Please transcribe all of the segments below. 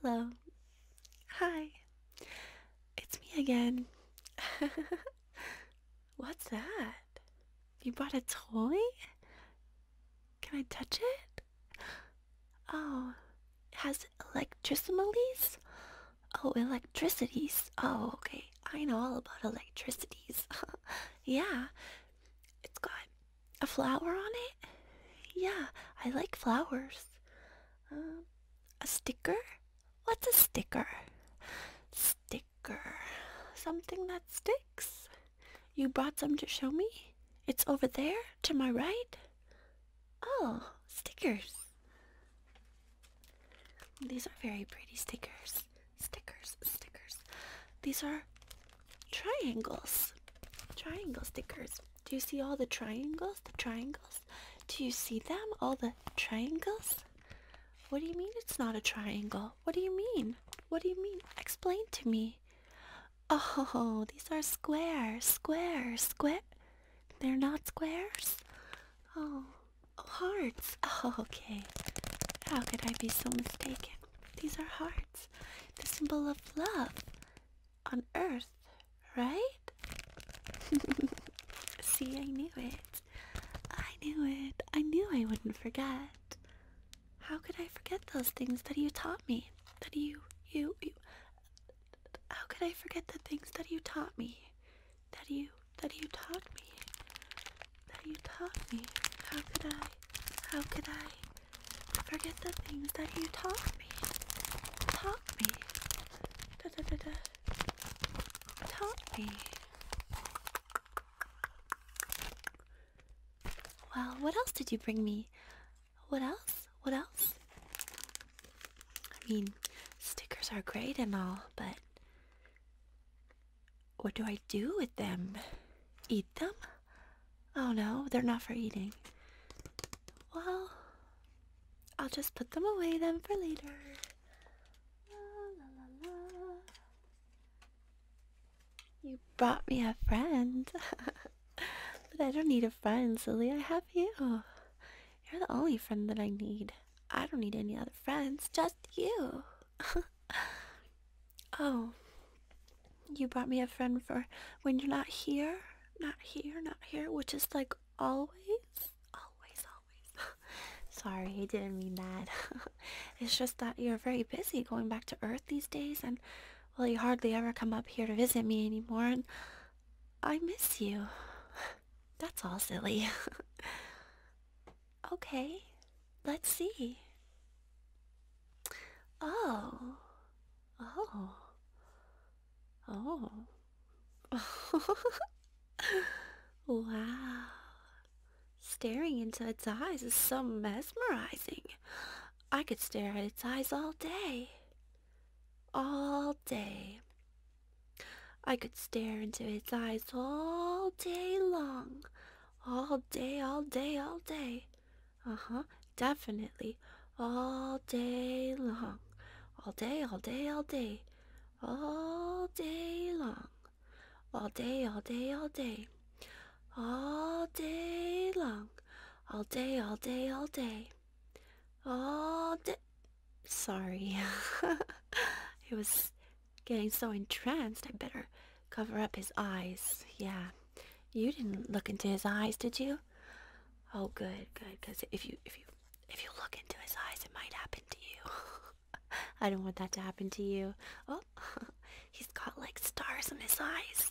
Hello. Hi. It's me again. What's that? You brought a toy? Can I touch it? Oh, has electricimalies? Oh, electricities. Oh, okay. I know all about electricities. yeah, it's got a flower on it. Yeah, I like flowers. Um, a sticker? What's a sticker? Sticker. Something that sticks. You brought some to show me? It's over there, to my right? Oh, stickers. These are very pretty stickers. Stickers, stickers. These are triangles. Triangle stickers. Do you see all the triangles? The triangles? Do you see them? All the triangles? What do you mean it's not a triangle? What do you mean? What do you mean? Explain to me. Oh, these are squares, squares, square. They're not squares? Oh, hearts. Oh, okay. How could I be so mistaken? These are hearts. The symbol of love on earth, right? See, I knew it. I knew it. I knew I wouldn't forget. How could I forget those things that you taught me? That you, you, you. How could I forget the things that you taught me? That you that you taught me. That you taught me. How could I how could I forget the things that you taught me? Taught me. Da, da, da, da. Taught me. Well, what else did you bring me? What else? What else? I mean, stickers are great and all, but what do I do with them? Eat them? Oh no, they're not for eating. Well, I'll just put them away then for later. You brought me a friend. but I don't need a friend, silly. I have you. You're the only friend that I need. I don't need any other friends, just you. oh, you brought me a friend for when you're not here, not here, not here, which is like always, always, always. Sorry, I didn't mean that. it's just that you're very busy going back to Earth these days, and well, you hardly ever come up here to visit me anymore, and I miss you. That's all silly. okay, let's see. Oh. Oh. Oh. wow. Staring into its eyes is so mesmerizing. I could stare at its eyes all day. All day. I could stare into its eyes all day long. All day, all day, all day. Uh huh, definitely. All day long. All day, all day, all day. All day long. All day, all day, all day. All day long all day, all day, all day. All day. Sorry. he was getting so entranced, I better cover up his eyes. Yeah. You didn't look into his eyes, did you? Oh, good, good. Because if you, if you, if you look into his eyes, it might happen to you. I don't want that to happen to you. Oh, he's got like stars in his eyes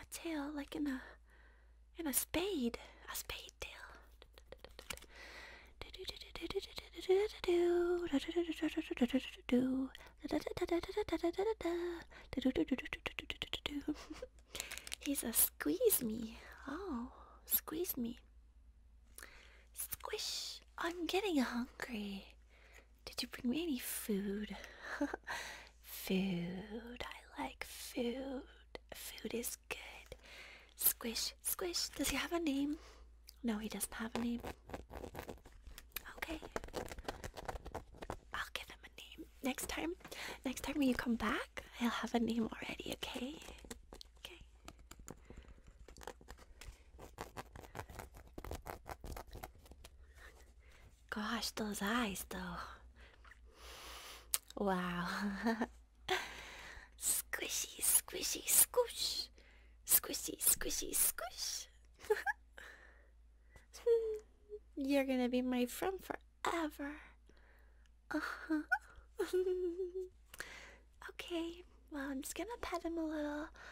a tail like in a in a spade, a spade tail. He's a squeeze me. Oh, squeeze me. Squish. I'm getting hungry. Did you bring me any food? food. I like food. Food is good. Squish, squish. Does he have a name? No, he doesn't have a name. Okay. I'll give him a name. Next time, next time when you come back, I'll have a name already, okay? Okay. Gosh, those eyes though. Wow. squishy, squishy, squish. Squishy, squishy, squish. You're gonna be my friend forever. Uh -huh. okay, well, I'm just gonna pet him a little.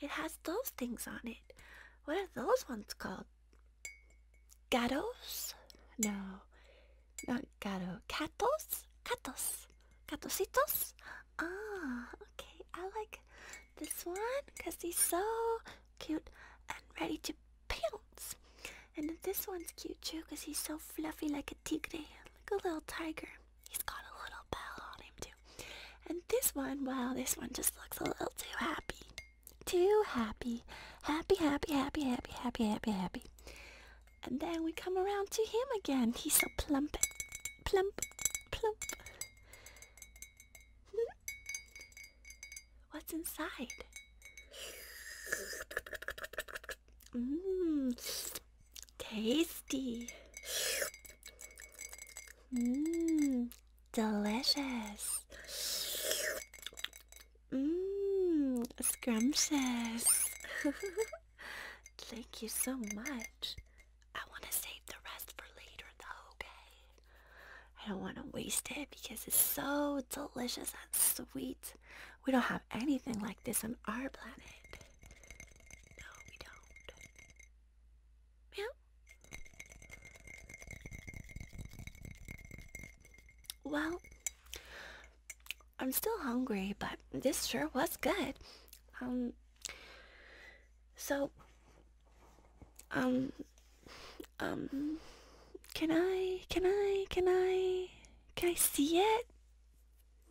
It has those things on it. What are those ones called? Gatos? No, not gato. Catos? Catos. Catositos? Ah, okay. I like this one because he's so cute and ready to pounce. And this one's cute too because he's so fluffy like a tigre, like a little tiger. He's got a little bell on him too. And this one, well, this one just looks a little too happy. Too happy. Happy, happy, happy, happy, happy, happy, happy. And then we come around to him again. He's so plump. Plump. Plump. What's inside? Mmm. Tasty. Mmm, delicious. Mmm, scrumptious. Thank you so much. I want to save the rest for later though, okay? I don't want to waste it because it's so delicious and sweet. We don't have anything like this on our planet. No, we don't. Meow. Well, I'm still hungry, but this sure was good. Um, so, um, um, can I, can I, can I, can I see it?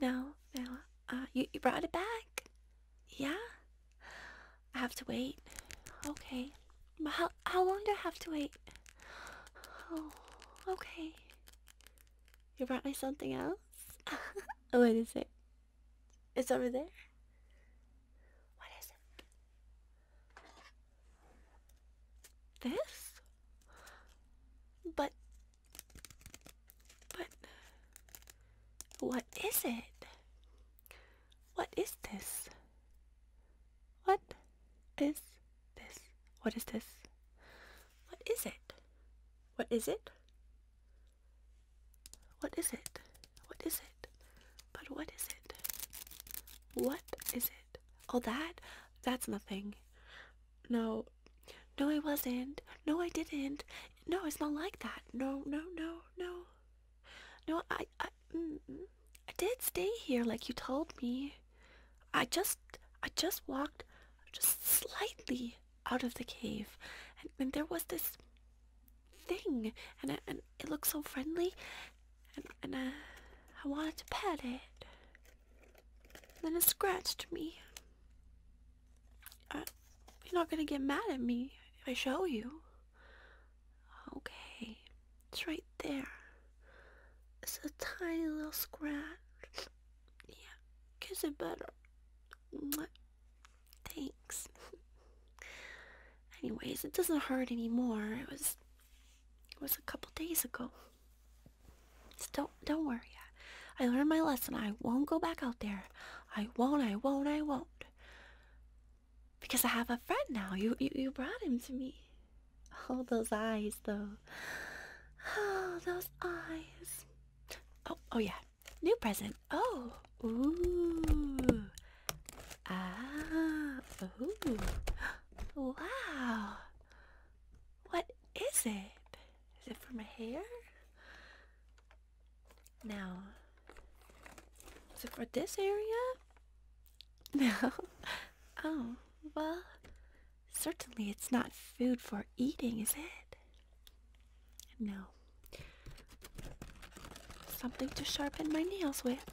No, no, uh, you, you brought it back? Yeah? I have to wait. Okay. But how how long do I have to wait? Oh, okay. You brought me something else? what is it? It's over there. What is it? This? But but what is it? What is this? What is this? What is this? What is it? What is it? What is it? What is it? But what is it? What is it? All oh, that? That's nothing. No. No, I wasn't. No, I didn't. No, it's not like that. No, no, no, no. No, I, I, I did stay here like you told me. I just, I just walked just slightly out of the cave. And, there was this thing. And, it looked so friendly. And, I, uh, I wanted to pet it. And then it scratched me. Uh, you're not gonna get mad at me if I show you. Okay, it's right there. It's a tiny little scratch. Yeah, kiss it better. Thanks. Anyways, it doesn't hurt anymore. It was, it was a couple days ago. So don't don't worry. I learned my lesson. I won't go back out there. I won't, I won't, I won't. Because I have a friend now. You you, you brought him to me. Oh, those eyes, though. Oh, those eyes. Oh, oh yeah. New present. Oh, ooh. Ah, ooh. Wow. What is it? Is it for my hair? Now, is it for this area? No. Oh, well, certainly it's not food for eating, is it? No. Something to sharpen my nails with.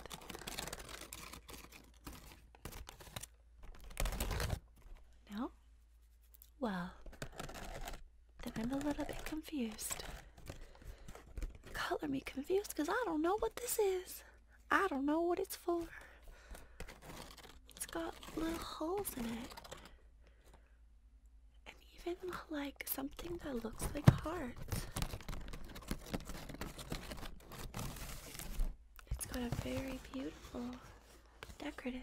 No? Well, then I'm a little bit confused. Color me confused because I don't know what this is. I don't know what it's for. It's got little holes in it. And even like something that looks like hearts. It's got a very beautiful decorative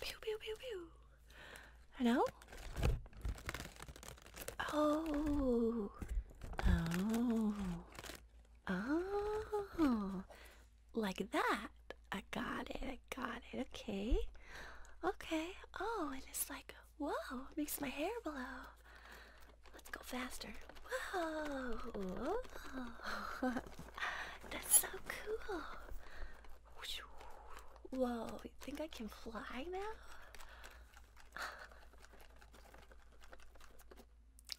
Pew pew pew pew. Hello? Oh. Oh. Oh. Like that. I got it. I got it. Okay. Okay. Oh, and it's like, whoa, it makes my hair blow. Let's go faster. Whoa. whoa. That's so cool. Whoa, you think I can fly now?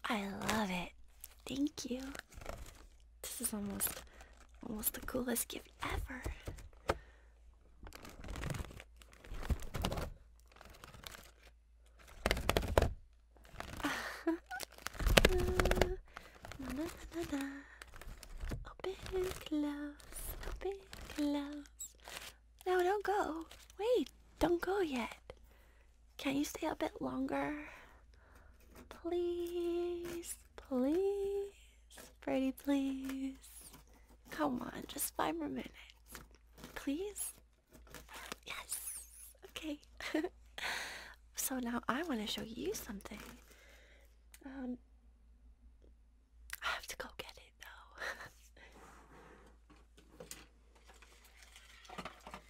I love it. Thank you. This is almost almost the coolest gift ever. Na na na na. Open, close, open, close. No, don't go. Wait, don't go yet. Can you stay a bit longer? Please, please, pretty please. Come on, just five more minutes. Please? Yes. Okay. so now I want to show you something. Um, I have to go get it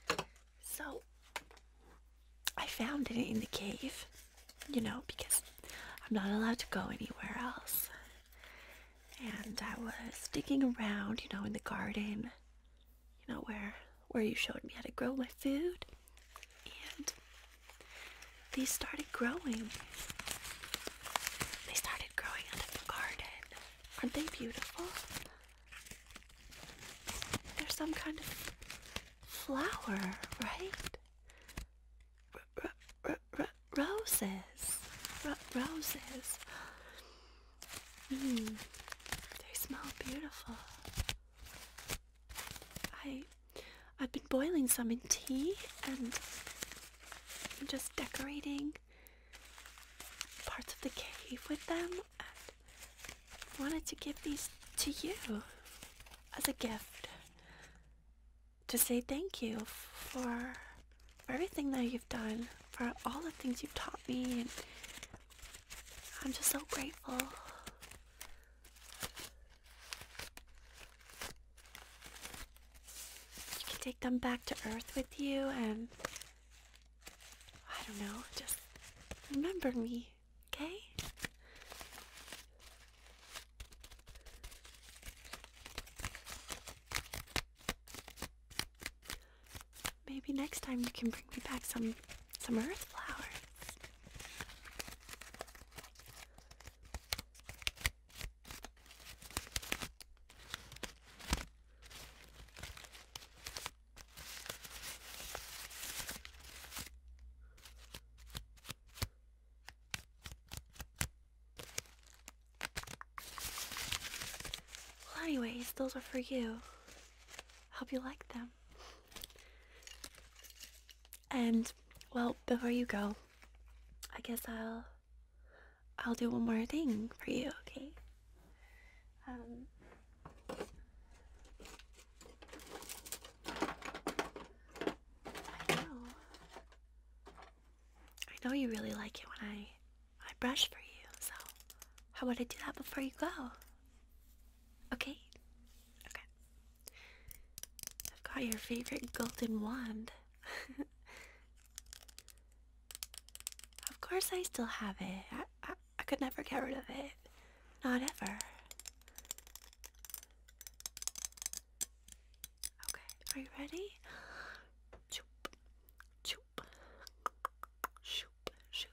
though. so I found it in the cave, you know, because I'm not allowed to go anywhere else. And I was digging around, you know, in the garden, you know, where where you showed me how to grow my food, and these started growing. They started growing out of the garden. Aren't they beautiful? They're some kind of flower, right? roses. roses. Mm, they smell beautiful. I I've been boiling some in tea and I'm just decorating parts of the cave with them and wanted to give these to you as a gift to say thank you for everything that you've done, for all the things you've taught me and I'm just so grateful you can take them back to Earth with you and. I don't know, just remember me, okay? Maybe next time you can bring me back some some earth flowers. Well, anyways, those are for you. Hope you like them. And well, before you go, I guess I'll I'll do one more thing for you, okay? Um I know. I know you really like it when I I brush for you, so how about I do that before you go? Okay? Okay. I've got your favorite golden wand. of course, I still have it. I, I, I could never get rid of it. Not ever. Okay, are you ready? Choop, choop, shoop, shoop,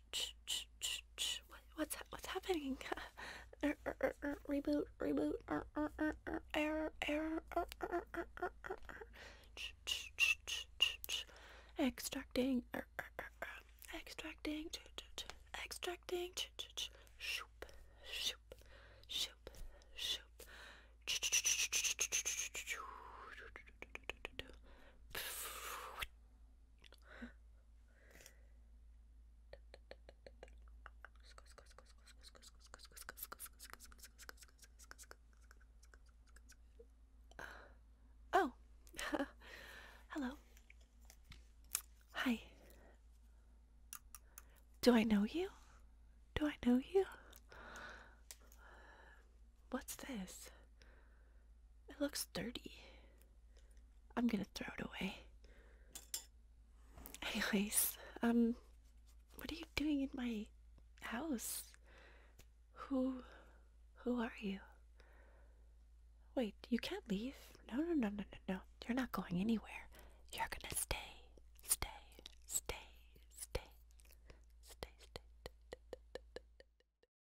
What's what's happening? Reboot, reboot, error, error, extracting, extracting, extracting, shoop, shoop, shoop, shoop. Oh, hello. Hi. Do I know you? Do I know you? What's this? It looks dirty. I'm gonna throw it away. Anyways, um, what are you doing in my house? Who, who are you? Wait, you can't leave. No, no, no, no, no, no. You're not going anywhere. You're gonna stay, stay, stay, stay, stay, stay.